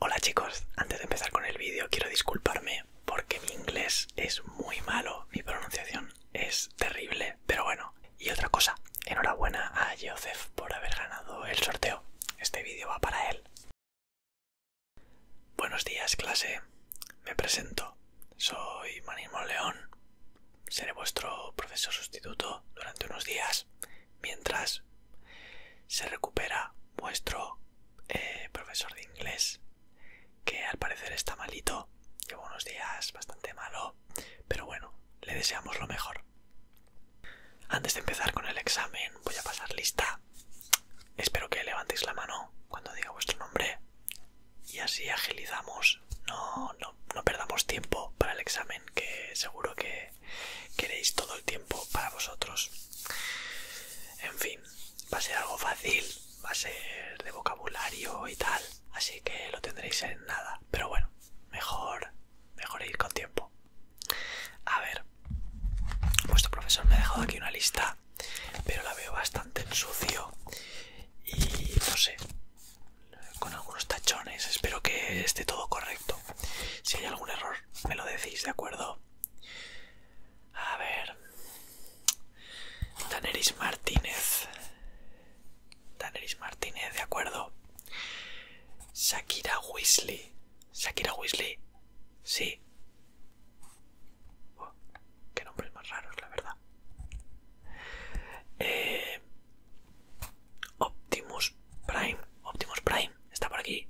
Hola chicos, antes de empezar con el vídeo quiero disculparme porque mi inglés es muy malo, mi pronunciación es terrible, pero bueno. Y otra cosa, enhorabuena a Joseph por haber ganado el sorteo. Este vídeo va para él. Buenos días clase, me presento. Soy Manimo León. Seré vuestro profesor sustituto durante unos días mientras se recupera vuestro eh, profesor de inglés que al parecer está malito lleva unos días bastante malo pero bueno le deseamos lo mejor antes de empezar con el examen voy a pasar lista espero que levantéis la mano cuando diga vuestro nombre y así agilizamos no, no perdamos tiempo para el examen que seguro que queréis todo el tiempo para vosotros. En fin, va a ser algo fácil, va a ser de vocabulario y tal, así que lo tendréis en nada. Pero bueno, mejor, mejor ir con tiempo. A ver, vuestro profesor me ha dejado aquí una lista, pero la veo bastante en sucio y no sé, con algunos tachones. Espero que esté todo correcto. Si hay algún error me lo decís, ¿de acuerdo? A ver. Daneris Martínez. Daneris Martínez, ¿de acuerdo? Shakira Weasley. Shakira Weasley. Sí. qué nombres más raros, la verdad. Eh, Optimus Prime. Optimus Prime. Está por aquí.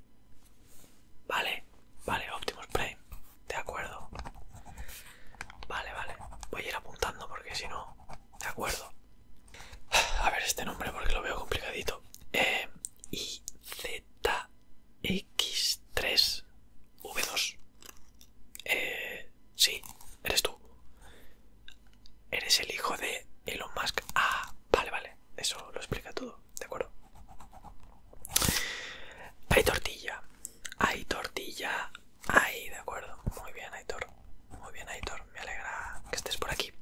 Vale, vale, Optimus Prime. De acuerdo. Vale, vale. Voy a ir apuntando porque si no... De acuerdo. A ver este nombre porque lo veo complicadito. Eh, IZX3 V2. Eh, sí, eres tú eres el hijo de Elon Musk. Ah, vale, vale. Eso lo explica todo, ¿de acuerdo? Hay tortilla. Hay tortilla. Ahí, de acuerdo. Muy bien, Aitor. Muy bien, Aitor. Me alegra que estés por aquí.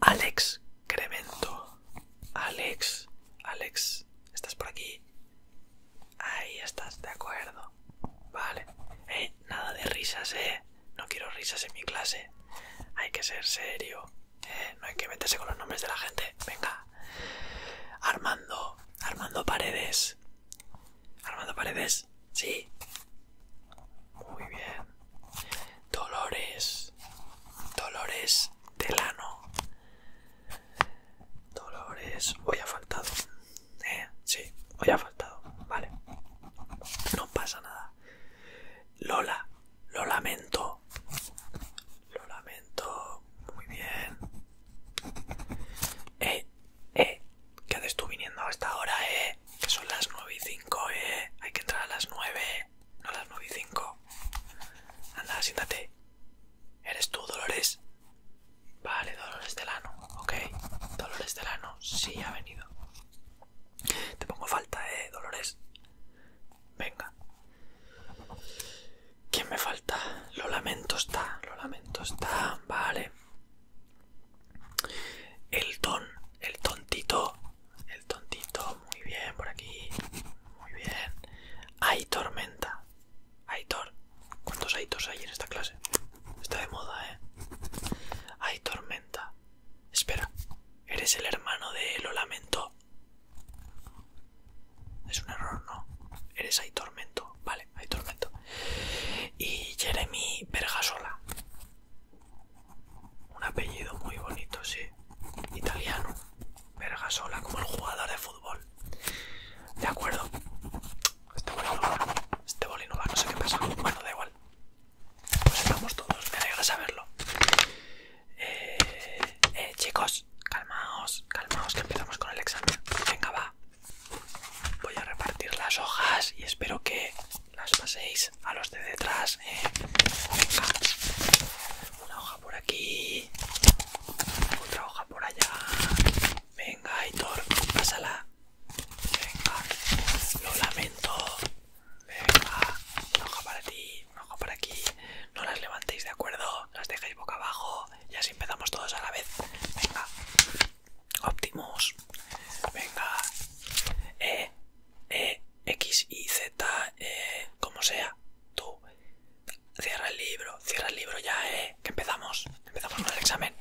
Alex Cremento. Alex. Alex. ¿Estás por aquí? Ahí estás, de acuerdo. Vale. Eh, nada de risas, eh. No quiero risas en mi clase. Hay que ser serio. ¿eh? no hay que meterse con los nombres de la gente. Venga. Armando. Armando Paredes. Armando Paredes. Sí. Muy bien. Dolores. Dolores Delano. Dolores. Hoy ha faltado. Eh, sí, hoy ha faltado. Vale. No pasa nada. Lola, lo lamento. Lo lamento. Muy bien. Eh, eh. ¿Qué haces tú viniendo esta hora, eh? Que son las 9 y 5, eh. Hay que entrar a las 9. No a las 9 y 5. Anda, siéntate. ¿Eres tú, Dolores? Vale, Dolores Delano. Ok. Dolores Delano. Sí, ha venido. Te pongo falta, eh, Dolores. Venga. ¿Quién me falta? Lo lamento está, lo lamento está, vale. El ton, el tontito, el tontito, muy bien por aquí, muy bien. Hay tormenta, Hay tor... ¿Cuántos Aitors hay en esta clase? Está de moda, eh. Hay tormenta. Espera, Eres el hermano de Lo Lamento. Es un error, ¿no? Eres Aitormento? tormento. Vale, hay tormento. Y Jeremy Vergasola. Un apellido muy bonito, sí. Italiano. Vergasola, como el jugador de fútbol. De acuerdo. Este bolino va. Este va, no sé qué pasa. Bueno, da igual. Pues estamos todos, me alegra saberlo. Eh, eh, chicos, calmaos, calmaos que empezamos con el examen. Venga, va. Voy a repartir las hojas y espero que las paséis a los de detrás. Eh. Venga. Una hoja por aquí. Otra hoja por allá. Venga, Aitor, pásala. Venga, lo lamento. Venga, una para ti, una hoja para aquí. No las levantéis, ¿de acuerdo? Las dejáis boca abajo y así empezamos todos a la vez. Venga, Optimus. Venga, E, E, X, Y, Z, e, como sea. Tú, cierra el libro, cierra el libro ya, ¿eh? Que empezamos, empezamos con el examen.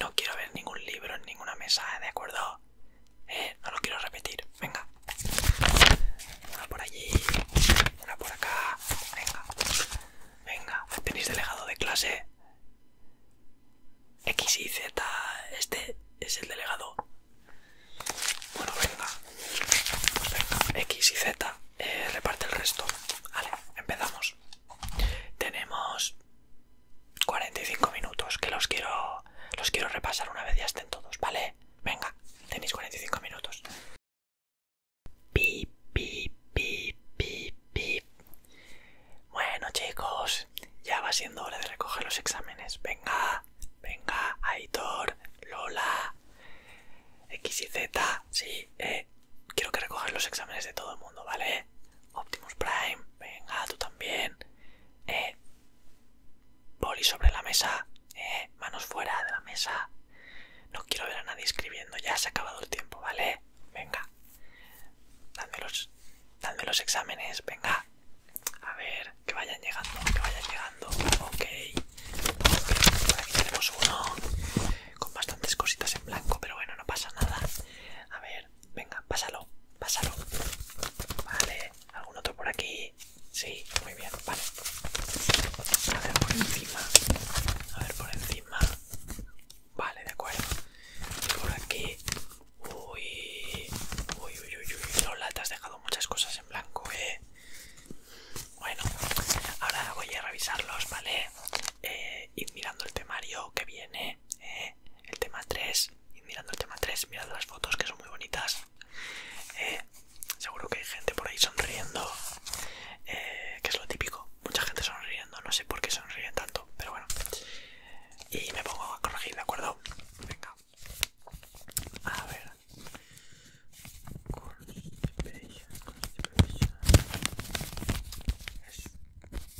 No quiero ver ningún libro en ninguna mesa, ¿de acuerdo? Eh, no lo quiero repetir. Venga. Una por allí. Una por acá. Venga. Venga. ¿Tenéis delegado de clase? X y Z. Este es el delegado. Bueno, venga. X y Z. Eh, reparte el resto. Vale, empezamos. Tenemos 45 minutos, que los quiero los quiero repasar una vez ya estén todos, ¿vale? Venga, tenéis 45 minutos. Pip, pip, pip, pip, pip. Bueno, chicos, ya va siendo hora de recoger los exámenes. Venga, venga, Aitor, Lola, X y Z, sí, eh. Quiero que recoger los exámenes de todo el mundo, ¿vale? Optimus Prime, venga, tú también. Eh. Poli sobre la mesa, eh. Manos fuera de la mesa. No quiero ver a nadie escribiendo, ya se ha acabado el tiempo, ¿vale? Venga. Dadme los, exámenes, venga. A ver, que vayan llegando, que vayan llegando. Ok. aquí tenemos uno con bastantes cositas en blanco, pero bueno, no pasa nada. A ver. Venga, pásalo, pásalo. Vale, ¿algún otro por aquí? Sí, muy bien, vale. A ver por encima. A ver por encima. Vale, de acuerdo. por aquí. Uy. Uy, uy, uy, uy. Lola, te has dejado muchas cosas en blanco, eh. Bueno, ahora voy a revisarlos, ¿vale? ir eh, mirando el temario que viene el tema 3, y mirando el tema 3, mirando las fotos que son muy bonitas. Eh, seguro que hay gente por ahí sonriendo, eh, que es lo típico. Mucha gente sonriendo, no sé por qué sonríen tanto, pero bueno. Y me pongo a corregir, ¿de acuerdo? Venga. A ver.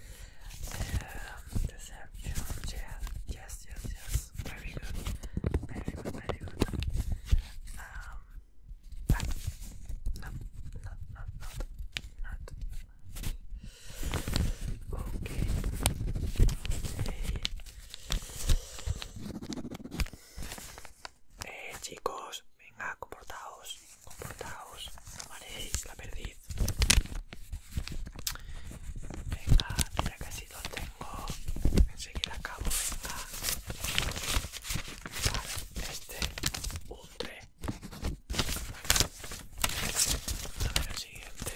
Um, deception, yeah, yes, yes, yes. Very good, very good, very good. Um, no, no, not, not, not, Okay. Eh, chicos, venga, comportaos, comportaos, no la perdí. Venga, mira casi tengo. Enseguida acabo, venga. este, un 3. A ver el siguiente.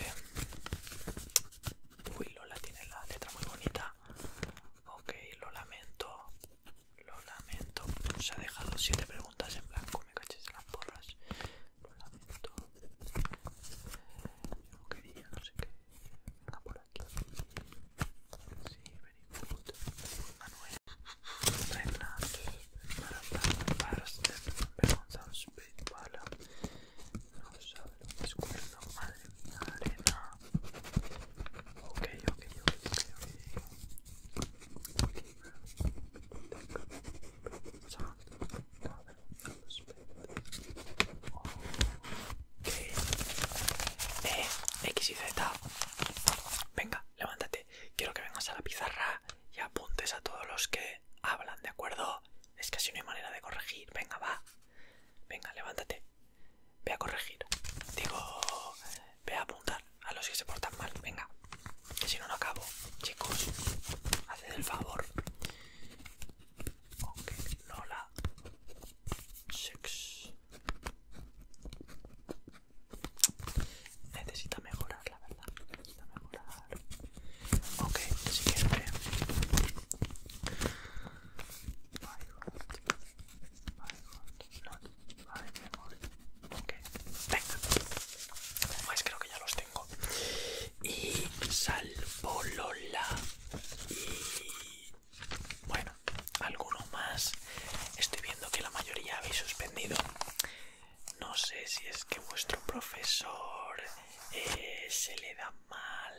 Uy, Lola tiene la letra muy bonita. Ok, lo lamento. Lo lamento. Se ha dejado siete preguntas en blanco. Me caché en las porras lo lamento yo no quería no sé qué por aquí sí venimos Manuel para para no sabe lo es madre mía arena ok eh, X y Z. Venga, levántate. Quiero que vengas a la pizarra y apuntes a todos los que hablan, ¿de acuerdo? Es que así no hay manera de corregir. Venga, va. Venga, levántate. Ve a corregir. Digo, ve a apuntar a los que se portan mal. Venga. Que si no, lo acabo. Chicos, haced el favor. ok, lola necesita mejorar, la verdad. Necesita mejorar. Ok, venga. creo que ya y Y Lola Y. Bueno, alguno más. Estoy viendo que la mayoría habéis suspendido. No sé si es que vuestro profesor eh, se le da mal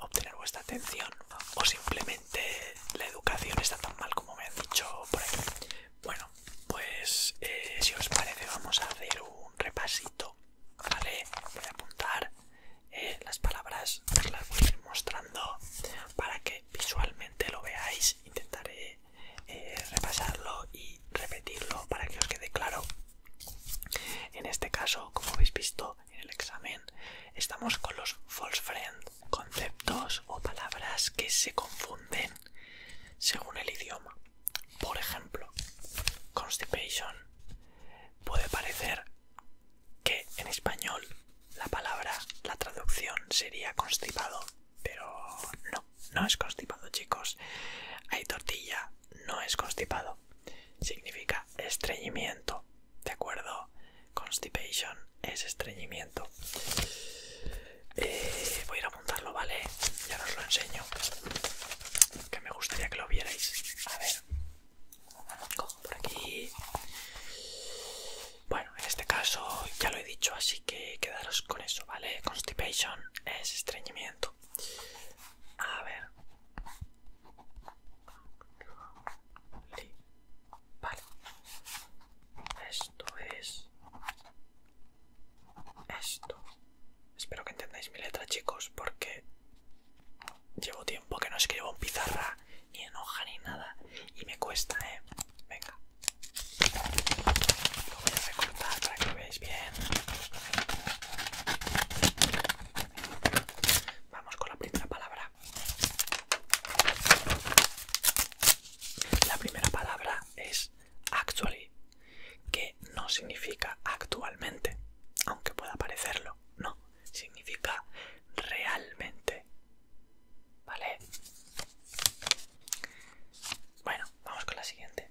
obtener vuestra atención o simplemente la educación está tan mal como me han dicho por ahí. Bueno, pues eh, si os parece vamos a hacer un repasito, Voy a apuntar eh, las palabras, las voy a ir mostrando para que visualmente lo veáis. Intentaré eh, repasarlo y repetirlo para que os quede claro. En este caso, como habéis visto en el examen, estamos con los false friends, conceptos o palabras que se confunden según el idioma. Por ejemplo, constipation puede parecer que en español la palabra, la traducción sería constipado, pero no, no es constipado chicos. Hay tortilla, no es constipado. Significa estreñimiento, ¿de acuerdo? Constipation es estreñimiento. Eh, voy a ir a montarlo, ¿vale? Ya os lo enseño. Que me gustaría que lo vierais. A ver. por aquí. Bueno, en este caso ya lo he dicho, así que quedaros con eso, ¿vale? Constipation es estreñimiento. A ver. Vale. Esto es... Esto. Espero que entendáis mi letra, chicos, porque llevo tiempo que no escribo en pizarra, ni en hoja, ni nada. Y me cuesta, ¿eh? Venga. Lo voy a recortar para que lo veáis bien. Vamos con la primera palabra. La primera palabra es actually, que no significa actualmente, aunque pueda parecerlo, no, significa realmente. ¿Vale? Bueno, vamos con la siguiente.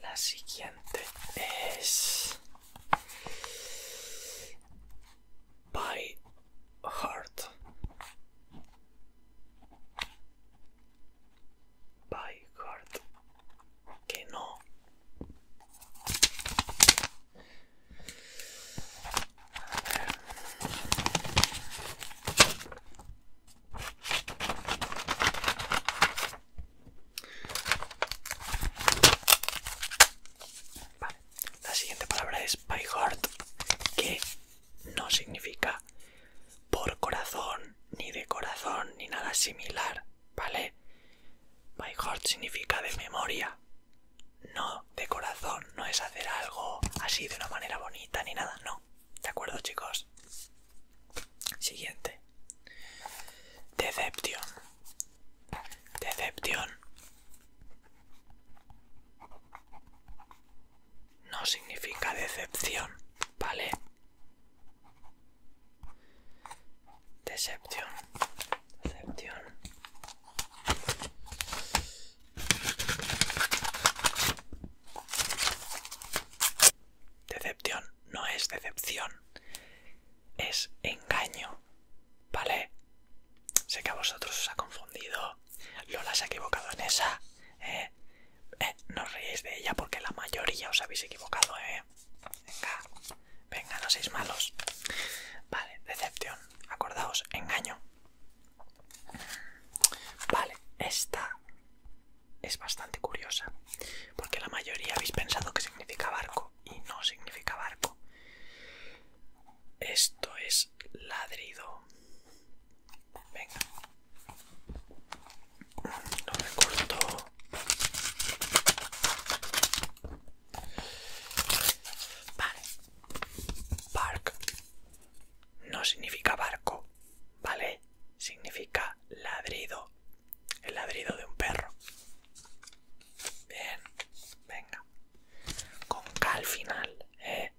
La siguiente es... By heart. By heart. Que no. La siguiente palabra es by heart, que no significa por corazón, ni de corazón, ni nada similar, ¿vale? My heart significa de memoria, no de corazón, no es hacer algo así de una manera bonita ni nada, no. ¿De acuerdo, chicos? Siguiente. Deception. Deception no significa decepción, ¿vale? Decepción, decepción. Decepción no es decepción, es engaño, ¿vale? Sé que a vosotros os ha confundido, Lola se ha equivocado en esa, eh, eh, no os reíais de ella porque la mayoría os habéis equivocado, eh. Venga, venga, no seis malos. Vale, decepción, acordaos, engaño. Vale, esta es bastante curiosa porque la mayoría habéis pensado que significa barco y no significa barco. Esto es ladrido. Venga. me corto. Vale. Bark no significa barco, ¿vale? Significa ladrido. El ladrido de un perro. Bien. Venga. Con cal final. ¿eh?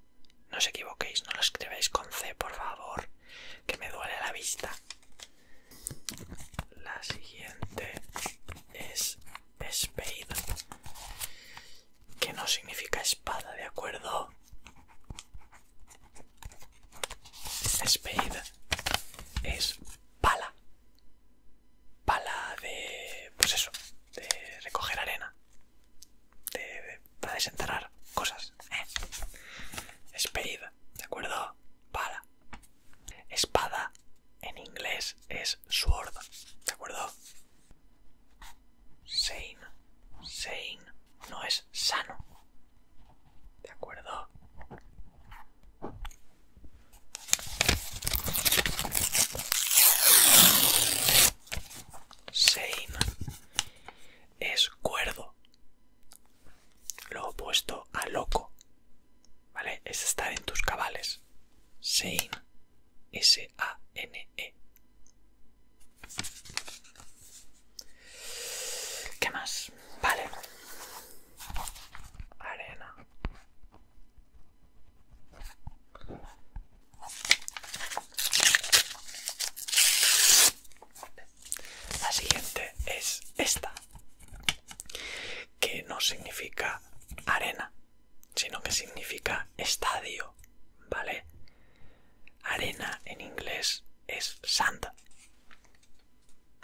No os equivoquéis, no lo escribáis con C, por favor, que me duele la vista. La siguiente es Spade, que no significa espada, ¿de acuerdo? Spade es pala. Pala de... pues eso, de recoger arena de, para desenterrar cosas. ¿eh? ¿de acuerdo? Para Espada en inglés es sword, ¿de acuerdo? Sane, sane no es sano, ¿de acuerdo? Sein es cuerdo. Lo opuesto a loco. ¿Vale? Es estar en tus cabales. Sein. S-A-N-E. ¿Qué más? Vale. Arena. La siguiente es esta, que no significa arena, sino que significa estadio, ¿vale? Arena en inglés es sand.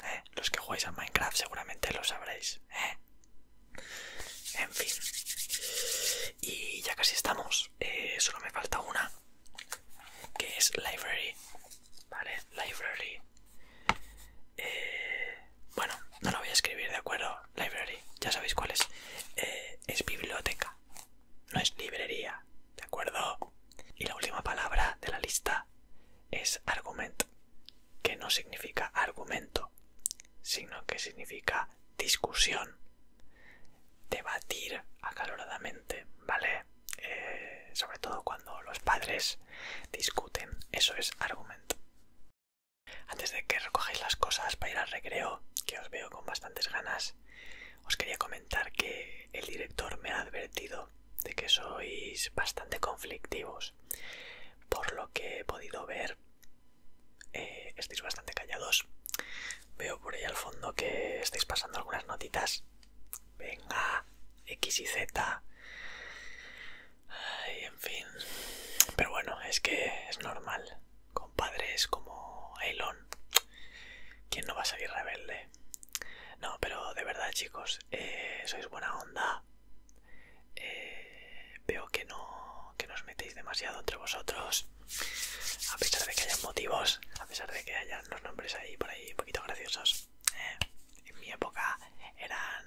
¿eh? Los que jugáis a Minecraft seguramente lo sabréis. ¿eh? En fin. Y ya casi estamos. Eh, solo me falta una. Que es library. Vale, library. Eh, bueno, no lo voy a escribir, ¿de acuerdo? Library, ya sabéis cuál es. Eh, es biblioteca. No es librería, ¿de acuerdo? Y la última palabra de la lista es argument. Que no significa argumento. Sino que significa discusión, debatir acaloradamente, ¿vale? Eh, sobre todo cuando los padres discuten, eso es argumento. Antes de que recogéis las cosas para ir al recreo, que os veo con bastantes ganas, os quería comentar que el director me ha advertido de que sois bastante conflictivos. Por lo que he podido ver, eh, estáis bastante callados. Veo por ahí al fondo que estáis pasando algunas notitas. Venga, X y Z. en fin. Pero bueno, es que es normal. Con como Elon. ¿Quién no va a salir rebelde? No, pero de verdad, chicos, eh, sois buena onda. Eh, veo que no, que os metéis demasiado entre vosotros, a pesar de que hayan motivos, a pesar de que hayan los nombres ahí por ahí un poquito graciosos. Eh, en mi época eran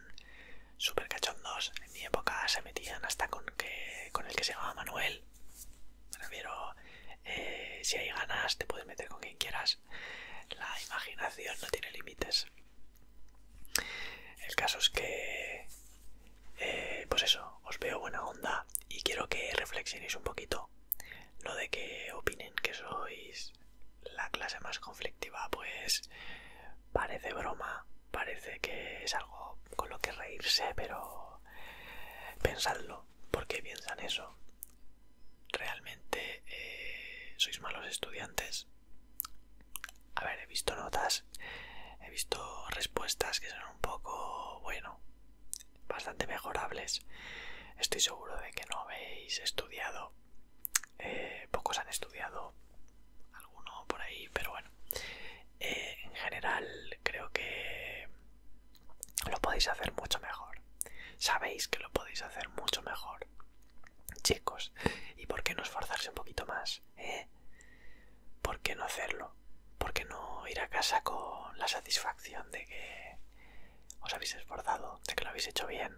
súper cachondos, en mi época se metían hasta con, que, con el que se llamaba Manuel. pero eh, si hay ganas te puedes meter con quien quieras. La imaginación no tiene límites. El caso es que eh, pues eso, os veo buena onda y quiero que reflexionéis un poquito. Lo de que opinen que sois la clase más conflictiva, pues parece broma, parece que es algo con lo que reírse, pero pensadlo, ¿por qué piensan eso? ¿Realmente eh, sois malos estudiantes? A ver, he visto notas, he visto respuestas que son un poco, bueno, bastante mejorables. Estoy seguro de que no habéis estudiado. Eh, pocos han estudiado, alguno por ahí, pero bueno. Eh, en general creo que lo podéis hacer mucho mejor. Sabéis que lo podéis hacer mucho mejor. Chicos, ¿y por qué no esforzarse un poquito más? Eh. ¿por qué no hacerlo? ¿Por qué no ir a casa con la satisfacción de que os habéis esforzado, de que lo habéis hecho bien?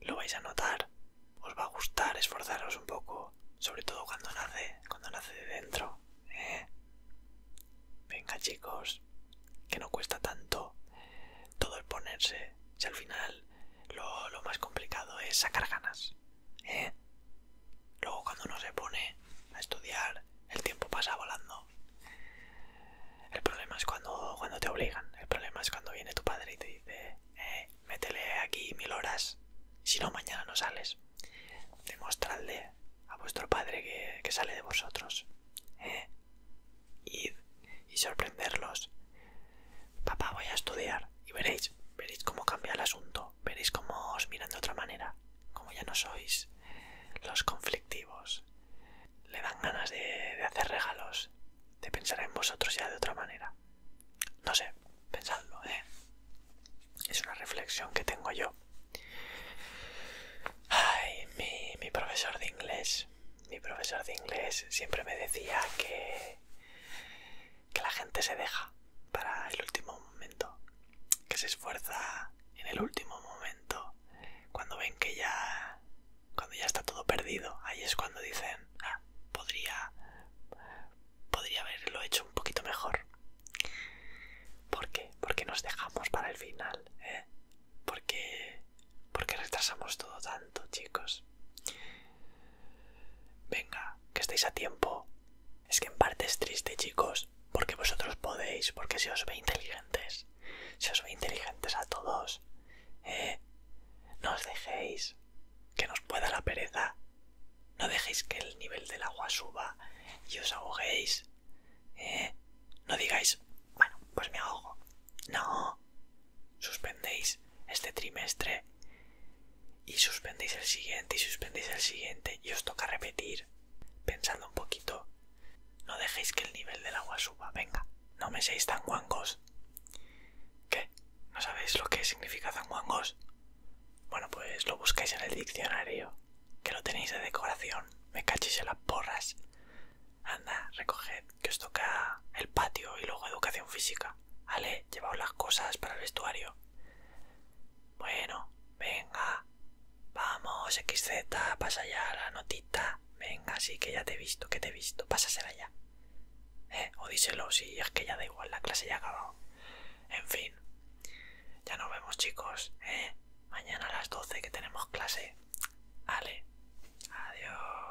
Lo vais a notar, os va a gustar esforzaros un poco, sobre todo cuando nace, cuando nace de dentro. ¿eh? Venga chicos, que no cuesta tanto todo el ponerse, si al final lo, más complicado es sacar ganas. ¿eh? Luego cuando uno se pone a estudiar, el tiempo pasa volando. El problema es cuando, cuando te obligan. El problema es cuando viene tu padre y te dice, eh, métele aquí mil horas, si no mañana no sales. Demostradle a vuestro padre que, que sale de vosotros. ¿eh? Id y sorprenderlos Papá, voy a estudiar y veréis, veréis cómo cambia el asunto, veréis cómo os miran de otra manera, como ya no sois los conflictivos. Le dan ganas de, hacer regalos, de pensar en vosotros ya de otra manera. No sé, pensadlo, ¿eh? Es una reflexión que tengo yo. Ay, mi profesor de inglés, mi profesor de inglés siempre me decía que que, la gente se deja para el último momento, que se esfuerza en el último momento, cuando ven que ya, cuando ya está todo perdido, ahí es cuando dicen, ah, podría, podría haberlo hecho un poquito mejor. ¿Por qué? Porque nos dejamos para el final, ¿eh? Porque, porque retrasamos todo tanto, chicos. Venga, que estáis a tiempo. Es que en parte es triste, chicos, porque vosotros podéis, porque se os ve inteligentes. Se os ve inteligentes a todos. Eh, no os dejéis que nos pueda la pereza. No dejéis que el nivel del agua suba y os ahoguéis. Eh, no digáis, bueno, pues me ahogo. No, Suspendéis este trimestre y suspendéis el siguiente y suspendéis el siguiente y os toca repetir. Pensando un poquito, no dejéis que el nivel del agua suba. Venga, no me seáis tan guangos. ¿Qué? ¿No sabéis lo que significa tan guangos? Bueno, pues lo buscáis en el diccionario, que lo tenéis de decoración. Me cachéis en las porras. Anda, recoged que os toca el patio y luego educación física. Ale, llevaos las cosas para el vestuario. Bueno, venga. Vamos, XZ, pasa ya la notita. Venga, sí, que ya te he visto, que te he visto. Pásasela ya. Eh, o díselo, si es que ya da igual, la clase ya ha acabado. En fin. Ya nos vemos, chicos. Eh, mañana a las 12 que tenemos clase. Ale. Adiós.